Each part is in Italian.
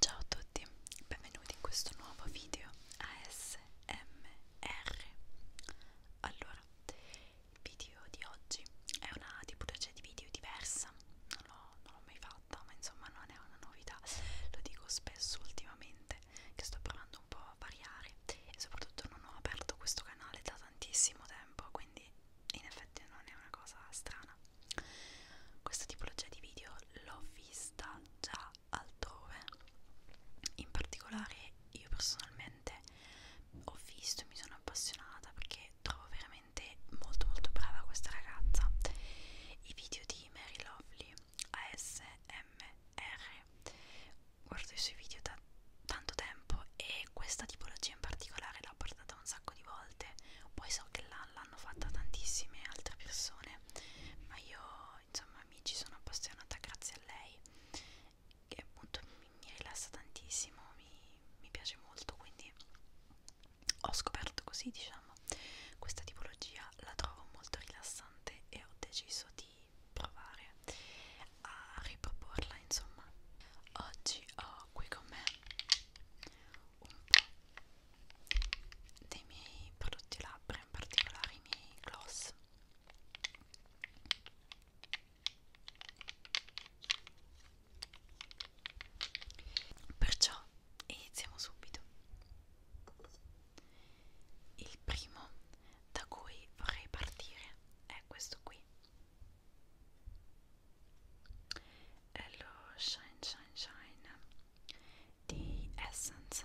Ciao a tutti, benvenuti in questo nuovo video ASMR. Allora, il video di oggi è una tipologia di video diversa, non l'ho mai fatta, ma insomma non è una novità, lo dico spesso ultimamente che sto provando un po' a variare e soprattutto non ho aperto questo canale da tantissimo tempo, quindi in effetti non è una cosa strana questa tipologia di video l'ho vista già altrove in particolare io personalmente ho visto e mi sono appassionata perché trovo veramente molto molto brava questa ragazza i video di Mary Lovely ASMR guardo i suoi video da tanto tempo e questa tipologia in particolare l'ho portata un sacco di volte, poi so che l'hanno fatta tantissime altre persone, ma io insomma mi ci sono appassionata grazie a lei, che appunto mi, mi rilassa tantissimo, mi, mi piace molto, quindi ho scoperto così diciamo questa tipologia, la trovo molto rilassante e ho deciso di provare a riproporla insomma oggi ho qui con me un po' dei miei prodotti labbra in particolare i miei gloss perciò iniziamo subito il primo da cui vorrei partire è questo qui Alors, shine, shine, shine. The essence.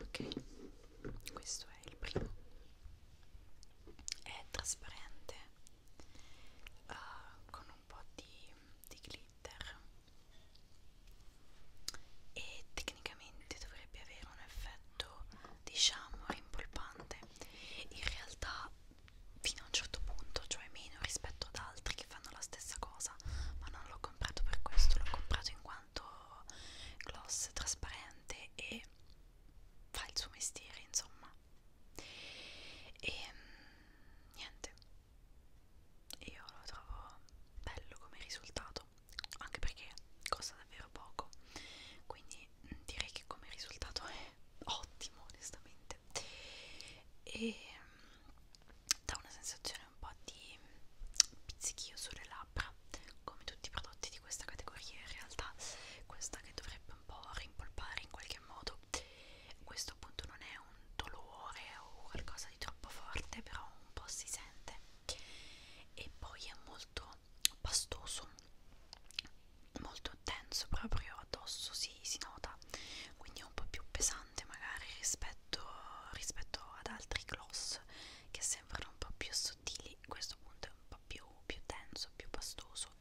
ok questo è il primo è trasparente uh, con un po' di, di glitter e tecnicamente dovrebbe avere un effetto diciamo rimpolpante in realtà fino a un certo punto cioè meno rispetto ad altri che fanno la stessa cosa ma non l'ho comprato per questo l'ho comprato in quanto quanto gloss trasparente e fa il suo mestiere insomma e mm, niente io lo trovo bello come risultato anche perché costa davvero poco quindi mm, direi che come risultato è ottimo onestamente e mm, dà una sensazione ottenere un po' di pizzichio sulle labbra come tutti i prodotti di questa categoria in realtà questa che dovrebbe un po' rimpolpare in qualche modo questo appunto non è un dolore o qualcosa di troppo forte però un po' si sente e poi è molto pastoso molto denso proprio addosso si, si nota quindi è un po' più pesante magari rispetto, rispetto ad altri gloss blues che sembrano un po' più sottili questo punto è un po' più, più denso, più pastoso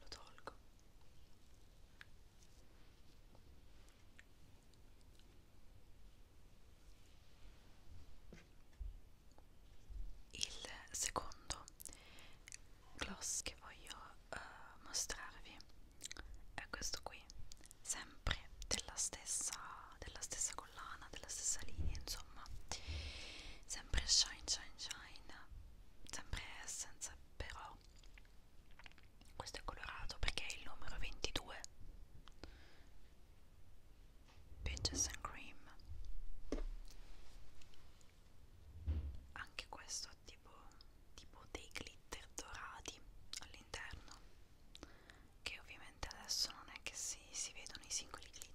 lo tolgo il secondo gloss che voglio uh, mostrarvi è questo qui sempre della stessa, della stessa collana della stessa linea insomma sempre shine shine shine sempre essence però questo è colorato perché è il numero 22 Peaches and Cream anche questo ha tipo, tipo dei glitter dorati all'interno che ovviamente adesso non è che si, si vedono i singoli glitter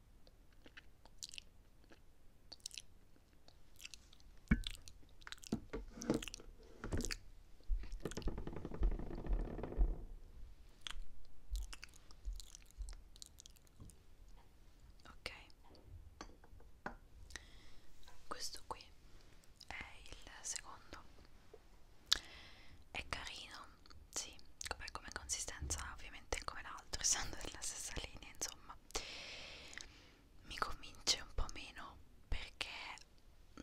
Ok, questo qui è il secondo. È carino, sì, come, come consistenza ovviamente come l'altro, essendo della stessa linea insomma mi convince un po' meno perché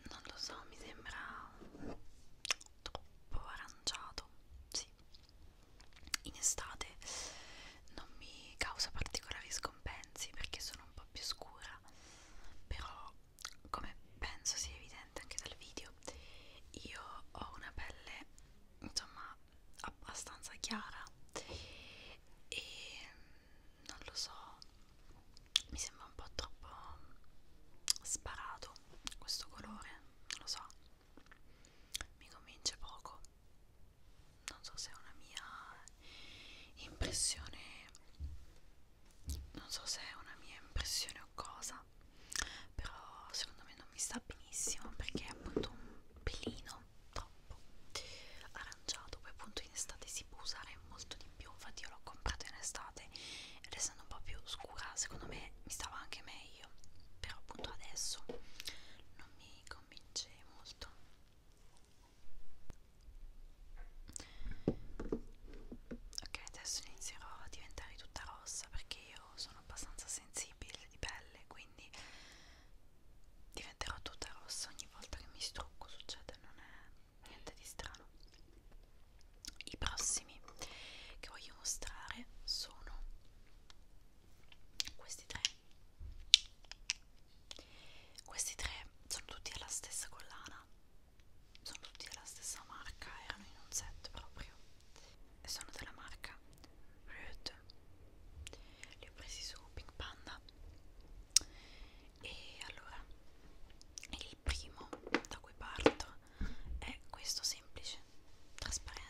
non lo so, mi sembra troppo aranciato, sì in estate non mi causa particolari scompensi perché sono un po' più scura però come penso sia evidente anche dal video io ho una pelle insomma abbastanza chiara e non lo so mi sembra un po' troppo sparato questo colore non lo so mi convince poco non so se è una mia impressione non so se è una mia impressione o cosa sta però secondo me non mi sta benissimo perché è appunto un pelino troppo aranciato poi appunto in estate si può usare molto di più infatti io l'ho comprato in estate ed essendo un po' più scura secondo me mi stava anche meglio però appunto adesso non mi convince molto ok adesso inizierò a diventare tutta rossa perché io sono abbastanza sensibile sensibile di pelle quindi diventerò tutta rossa ogni volta che mi strucco succede non è niente di strano i prossimi che voglio mostrare sono questi tre questi tre sono tutti alla stessa collana sono tutti della stessa marca erano in un set proprio sono della marca Rude li ho presi su Pink Panda e allora il primo da cui parto è questo semplice trasparente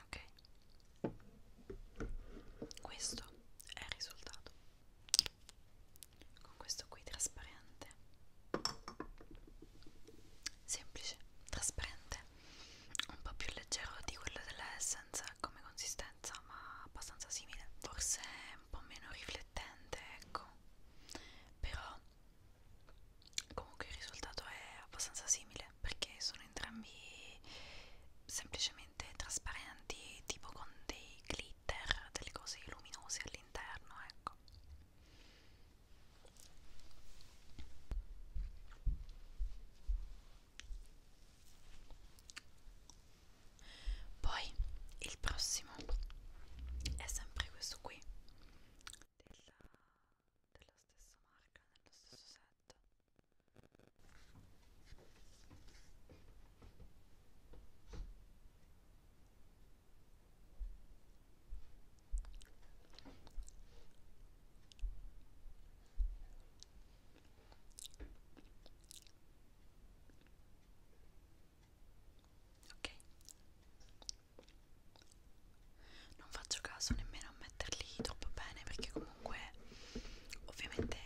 Ok, questo è il risultato con questo qui trasparente semplice, trasparente, un po' più leggero di quello della Essence come consistenza, ma abbastanza simile. Forse un po' meno riflettente, ecco, però comunque il risultato è abbastanza simile perché sono entrambi semplicemente trasparenti, tipo con dei glitter, delle cose luminose all'interno, ecco. Poi il prossimo è sempre questo qui della, della stessa marca, nello stesso set ok non faccio caso nemmeno a metterli troppo bene perché comunque ovviamente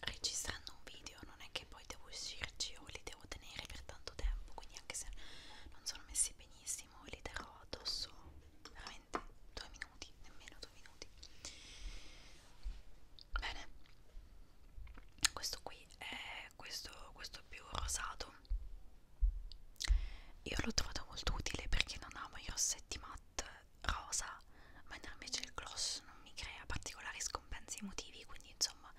registrando un video non è che poi devo uscirci o li devo tenere per tanto tempo quindi anche se non sono messi benissimo massimo li terrò addosso veramente due minuti, nemmeno due minuti. Bene, questo qui è questo, questo più rosato. Io l'ho trovato molto utile perché non amo i rossetti matte rosa, ma invece il gloss non mi crea particolari scompensi emotivi, quindi insomma,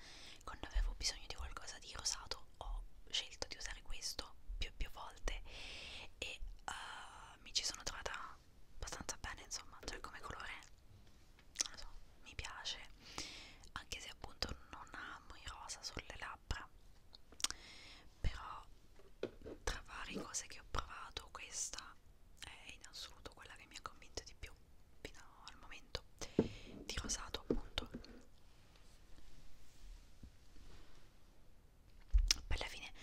quando avevo bisogno di qualcosa di rosato ho scelto di usare questo più e più volte e uh, mi ci sono trovata abbastanza bene insomma cioè come colore non lo so mi piace anche se appunto non amo i rosa sulle labbra però tra varie cose che ho provato questa è in assoluto quella che mi ha convinto di più fino al momento di rosato appunto per la fine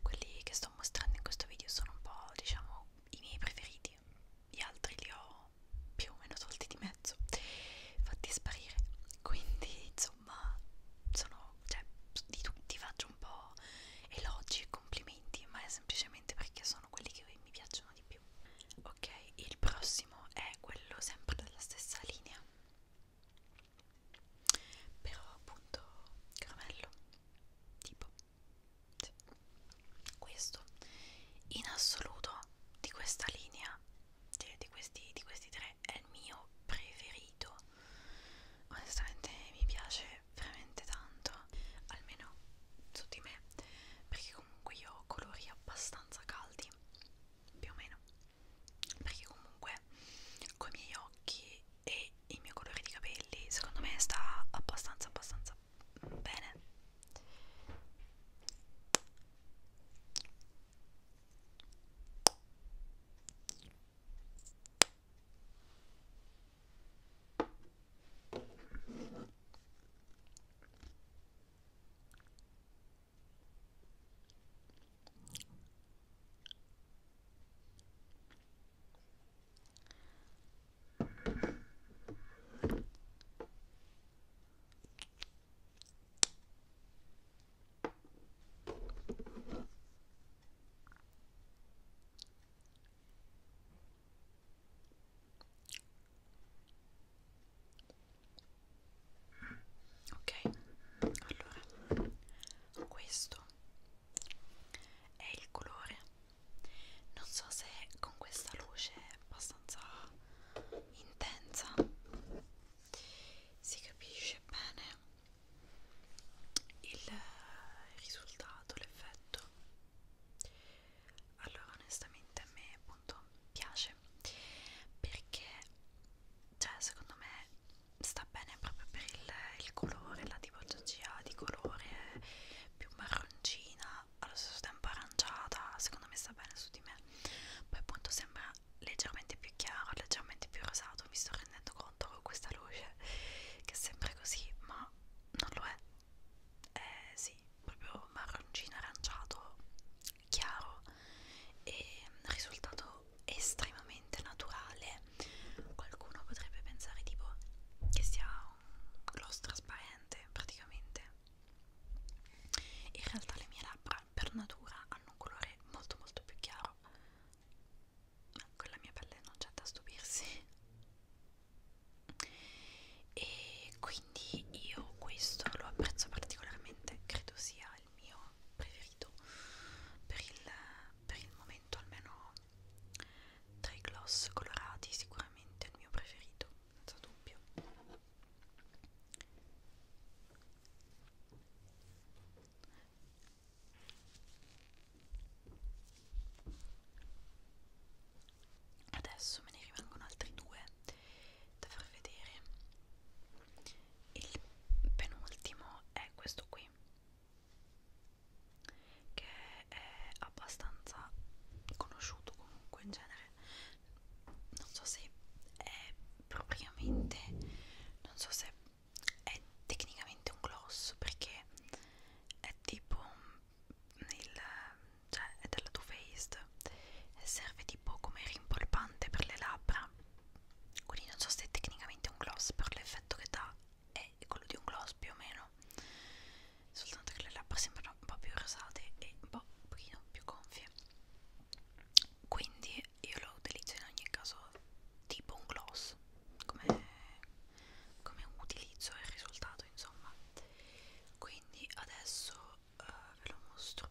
quelli che sto mostrando in questo video sono un po' diciamo i miei preferiti gli altri li ho più o meno tolti di mezzo fatti sparire quindi insomma sono cioè di tutti faccio un po' elogi e complimenti ma è semplicemente perché sono quelli che mi piacciono di più ok il prossimo è quello sempre della stessa linea però appunto caramello tipo sì. questo in assoluto di questa linea di, cioè, di, questi, di questi tre è il mio preferito onestamente mi piace veramente tanto almeno su di me perché comunque io ho colori abbastanza caldi più o meno perché comunque con i miei occhi e il mio colore di capelli secondo me sta abbastanza abbastanza bene Ok, allora questo è il colore non so se con questa luce abbastanza intensa si capisce bene il risultato, l'effetto allora onestamente a me appunto piace perché cioè secondo me sta bene proprio per il, il colore, la tipologia di colore eh, più marroncina, allo stesso tempo aranciata, secondo me sta bene su di me. Poi appunto sembra leggermente più chiaro, leggermente più rosato, mi sto rendendo conto con questa luce che sembra così, ma non lo è. Eh sì, proprio marroncino aranciato chiaro e risultato video estremamente naturale qualcuno potrebbe pensare tipo che sia un gloss trasparente praticamente in realtà le mie labbra per natura hanno un colore molto molto più chiaro con la mia pelle non c'è da stupirsi e quindi io questo lo apprezzo particolarmente credo sia il mio preferito per il per il momento almeno tra i gloss colorati sicuramente è il mio preferito, senza dubbio adesso me ne rimangono altri due da far vedere il penultimo è questo qui che è abbastanza conosciuto comunque in genere non so se è propriamente non so se è tecnicamente un gloss perché è tipo il, cioè è della Too Faced e serve tipo come rimpolpante per le labbra quindi non so se è tecnicamente un gloss per l'effetto che dà è quello di un gloss più o meno soltanto che le labbra sembrano un po' più rosate e un, po', un pochino più gonfie quindi io lo utilizzo in ogni caso tipo un gloss come, come utilizzo il risultato insomma quindi adesso uh, ve lo mostro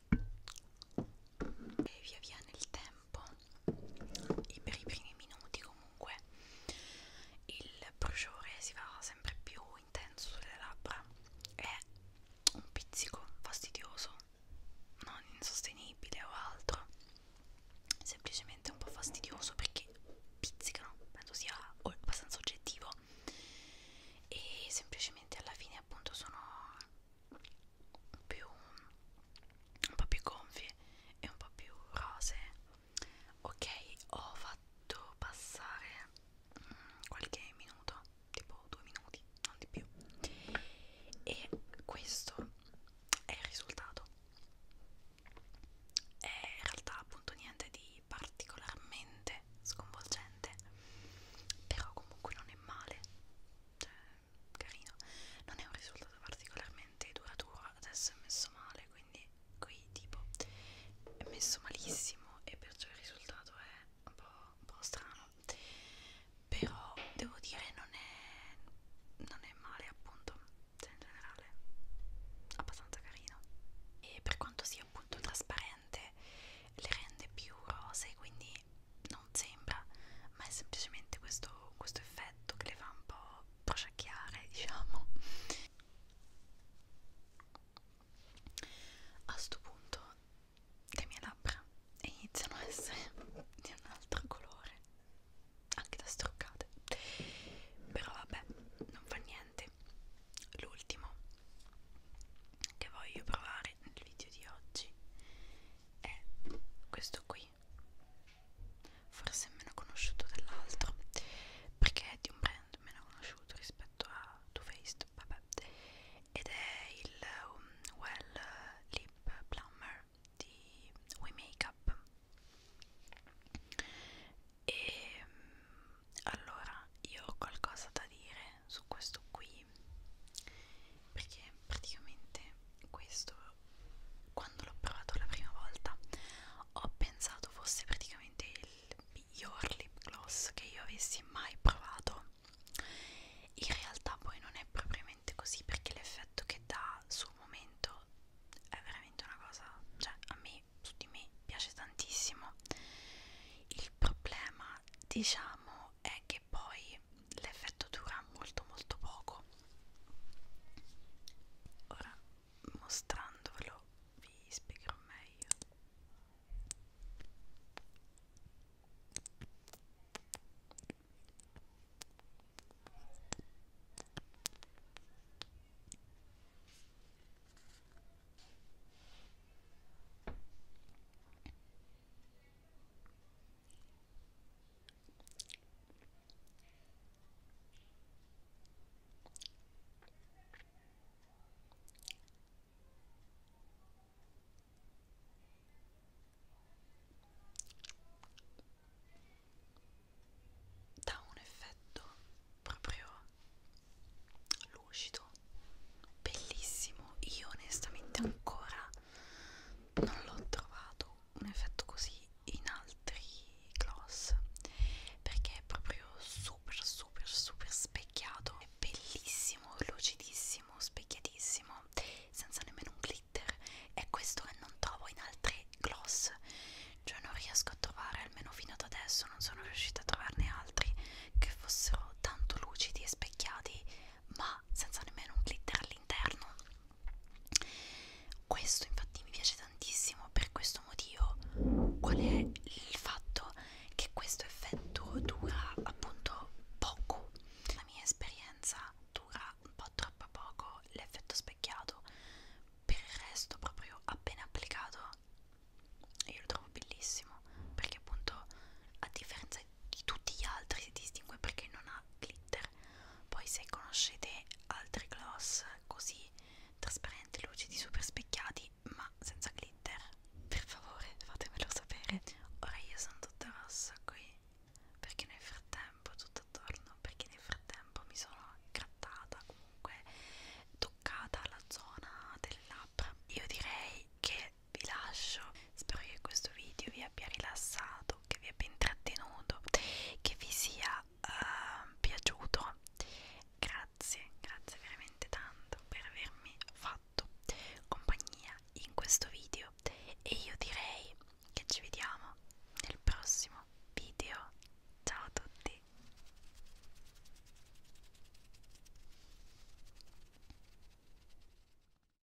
e via via nel tempo per i primi minuti comunque il bruciore si fa sempre più intenso sulle labbra è un pizzico fastidioso non insostenibile o altro semplicemente un po' fastidioso perché pizzicano penso sia abbastanza oggettivo e semplicemente alla fine appunto sono più un po' più gonfie e un po' più rosee ok ho fatto passare mm, qualche minuto tipo due minuti non di più e questo è il risultato è in realtà appunto niente di particolarmente sconvolgente però comunque non è male cioè carino non è un risultato particolarmente duraturo adesso è messo male quindi qui tipo è messo malissimo e perciò il risultato è un po', un po strano però devo dire non è non è male appunto cioè in generale abbastanza carino e per quanto sia appunto trasparente le rende più rose quindi non sembra ma è semplicemente questo, questo effetto che le fa un po' prosciacchiare diciamo a sto punto le mie labbra iniziano a essere di un altro colore anche da struccate però vabbè non fa niente l'ultimo che voglio provare nel video di oggi è questo qui forse meno conosciuto dell'altro perché è di un brand meno conosciuto rispetto a Too Faced vabbè ed è il um, Well Lip Plumber di We Makeup e ehm, allora io ho qualcosa da dire su questo qui perché praticamente questo quando l'ho provato la prima volta ho pensato fosse praticamente il miglior lip gloss che io avessi mai provato in realtà poi non è propriamente così perché l'effetto che dà sul momento è veramente una cosa cioè a me su di me piace tantissimo il problema diciamo è che poi l'effetto dura molto molto poco ora mostrandovelo vi spiegherò meglio dà un effetto proprio lucido bellissimo io onestamente ancora non l'ho trovato un effetto così in altri gloss perché è proprio super super super specchiato è bellissimo lucidissimo specchiatissimo senza nemmeno un glitter è questo che non trovo in altri gloss cioè non riesco a trovare almeno fino ad adesso non sono riuscita a trovarne altri che fossero tanto lucidi e specchiati ma senza nemmeno un glitter all'interno questo infatti mi piace tantissimo per questo motivo qual è il fatto che questo effetto dura appunto poco la mia esperienza dura un po' troppo poco l'effetto specchiato per il resto proprio appena applicato io lo trovo bellissimo perché appunto a differenza di tutti gli altri si distingue perché non ha glitter poi se conoscete altri gloss così trasparenti, lucidi, super specchiati ma senza glitter per favore fatemelo sapere ora io sono tutta rossa qui perché nel frattempo tutto attorno perché nel frattempo mi sono grattata comunque toccata la zona delle labbra io direi che vi lascio spero che questo video vi abbia rilassato che vi abbia intrattenuto che vi sia uh, piaciuto grazie grazie veramente tanto per avermi fatto compagnia in questo video e io direi che ci vediamo nel prossimo video ciao a tutti